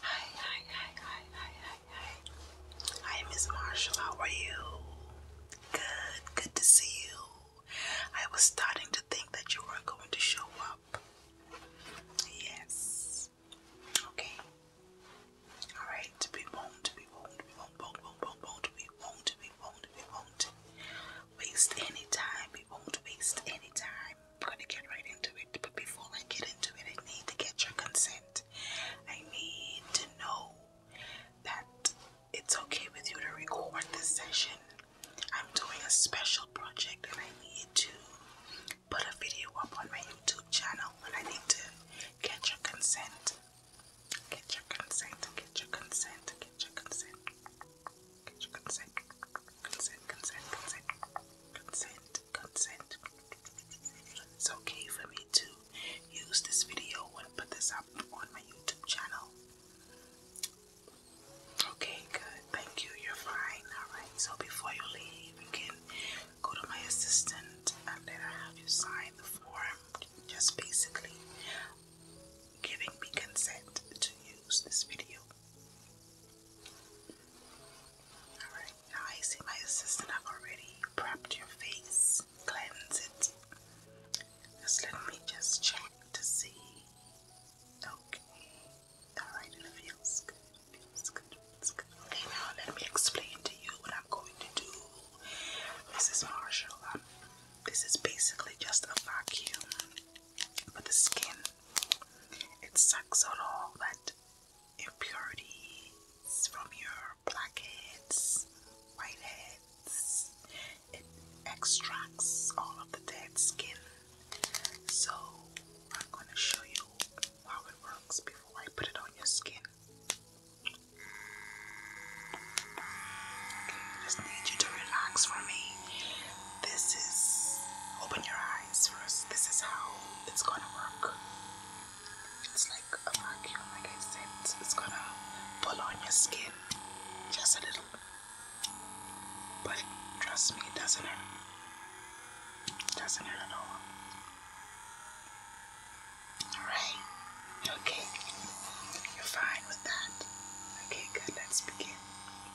Hi, hi, hi, hi, hi, hi, hi. Hi, Miss Marshall. How are you? Good, good to see you. I was starting to think that you weren't going to show up. Yes. Okay. All right. We won't. We won't. We won't. Won't. Won't. Won't. We won't. We won't. We Waste any time. We won't waste any time we're gonna get right into it. But before I get into it, I need to get your consent. I need to know that it's okay with you to record this session. I'm doing a special project and I need to put a video up on my YouTube channel and I need to get your consent. Get your consent, get your consent, get your consent. Get your consent. Consent, consent, consent, consent, consent. It's okay for me to use this video and put this up on my YouTube channel. Okay, good. Thank you. You're fine. Alright, so before you leave, you can go to my assistant and let her have you sign the form. Just basically giving me consent to use this video. Alright, now I see my assistant have already prepped your face, cleanse it. Just let me just check to see. Okay. Alright, it feels good. It feels good. It's good. Okay, now let me explain to you what I'm going to do. Mrs. Marshall, um, this is basically just a vacuum for the skin. It sucks out all that impurities from your blackheads, whiteheads. It extracts all of the dead skin. So I'm going to show you how it works before I put it on your skin. just need you to relax for me this is open your eyes first. This is how it's gonna work. It's like a vacuum, like I said. It's gonna pull on your skin just a little, but trust me, it doesn't hurt. It doesn't hurt at all. All right. Okay. You're fine with that. Okay, good. Let's begin.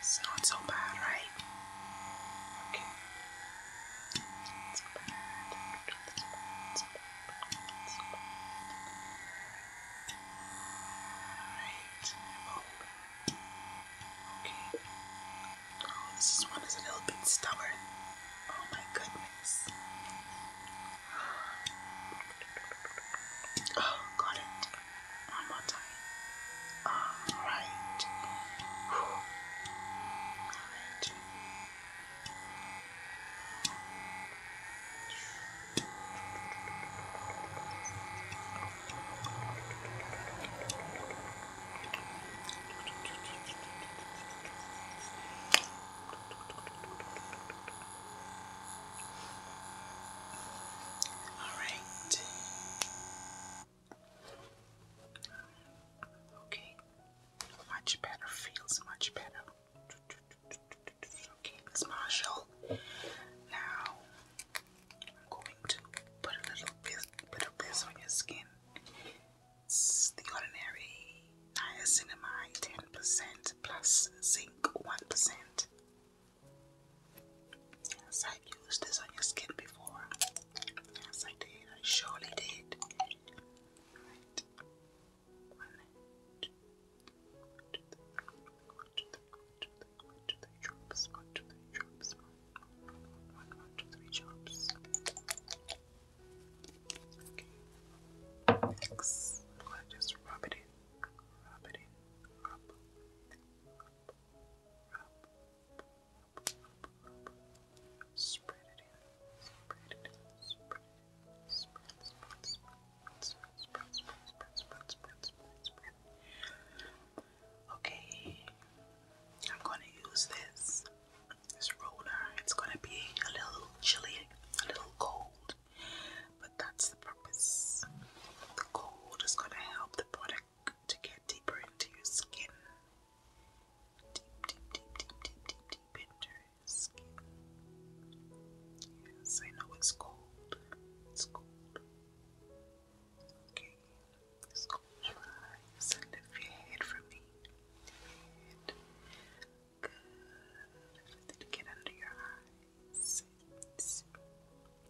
It's not so bad, right? Okay. It's bad. It's bad. It's bad. It's bad. Alright. Okay. Oh, this one is a little bit stubborn. Oh my goodness. Oh, got it. One more time. Alright. Alright. All right. Okay. Much better. Feels much better. Okay, Miss Marshall. Now I'm going to put a little bit, bit of this on your skin. It's the ordinary niacinamide 10% plus zinc 1%. Yes, I used this on your skin before. Yes, I did. I surely did. All right. One, two, one, two, three, one, drops, one, two, three, drops, Okay. Next, I'm gonna just rub it in, rub it in, rub, rub, spread it in, spread it in, spread it in, spread, spread, spread, spread, spread, spread, spread, spread, spread, spread. Okay, I'm gonna use this this roller. It's gonna be a little chilly, a little cold but that's the purpose. The cold is going to help the product to get deeper into your skin. Deep, deep, deep, deep, deep, deep, deep into your skin. Yes, I know it's cold. It's cold. Okay, let's close lift your head for me. head. Good. to get under your eyes.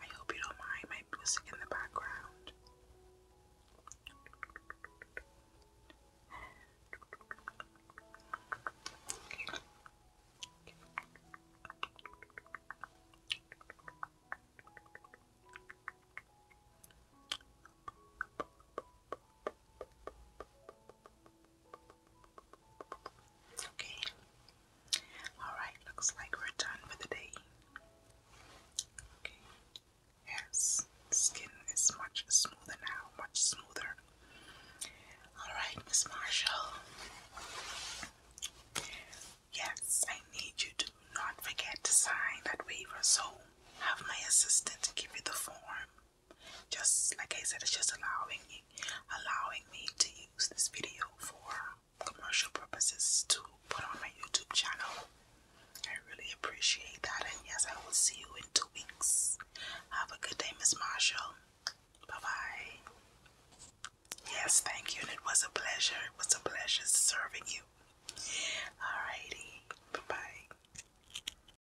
I hope you don't mind my music in the background. Okay. Alright, looks like we're done for the day. Okay. Yes, skin is much smoother now, much smoother. Alright, Miss Marshall. Yes, I need you to not forget to sign that waiver, so have my assistant give you the form. Just like I said, it's just allowing me, allowing me to use this video for commercial purposes to put on my YouTube channel. I really appreciate that, and yes, I will see you in two weeks. Have a good day, Miss Marshall. Bye bye. Yes, thank you, it was a pleasure. It was a pleasure serving you. Alrighty, bye bye.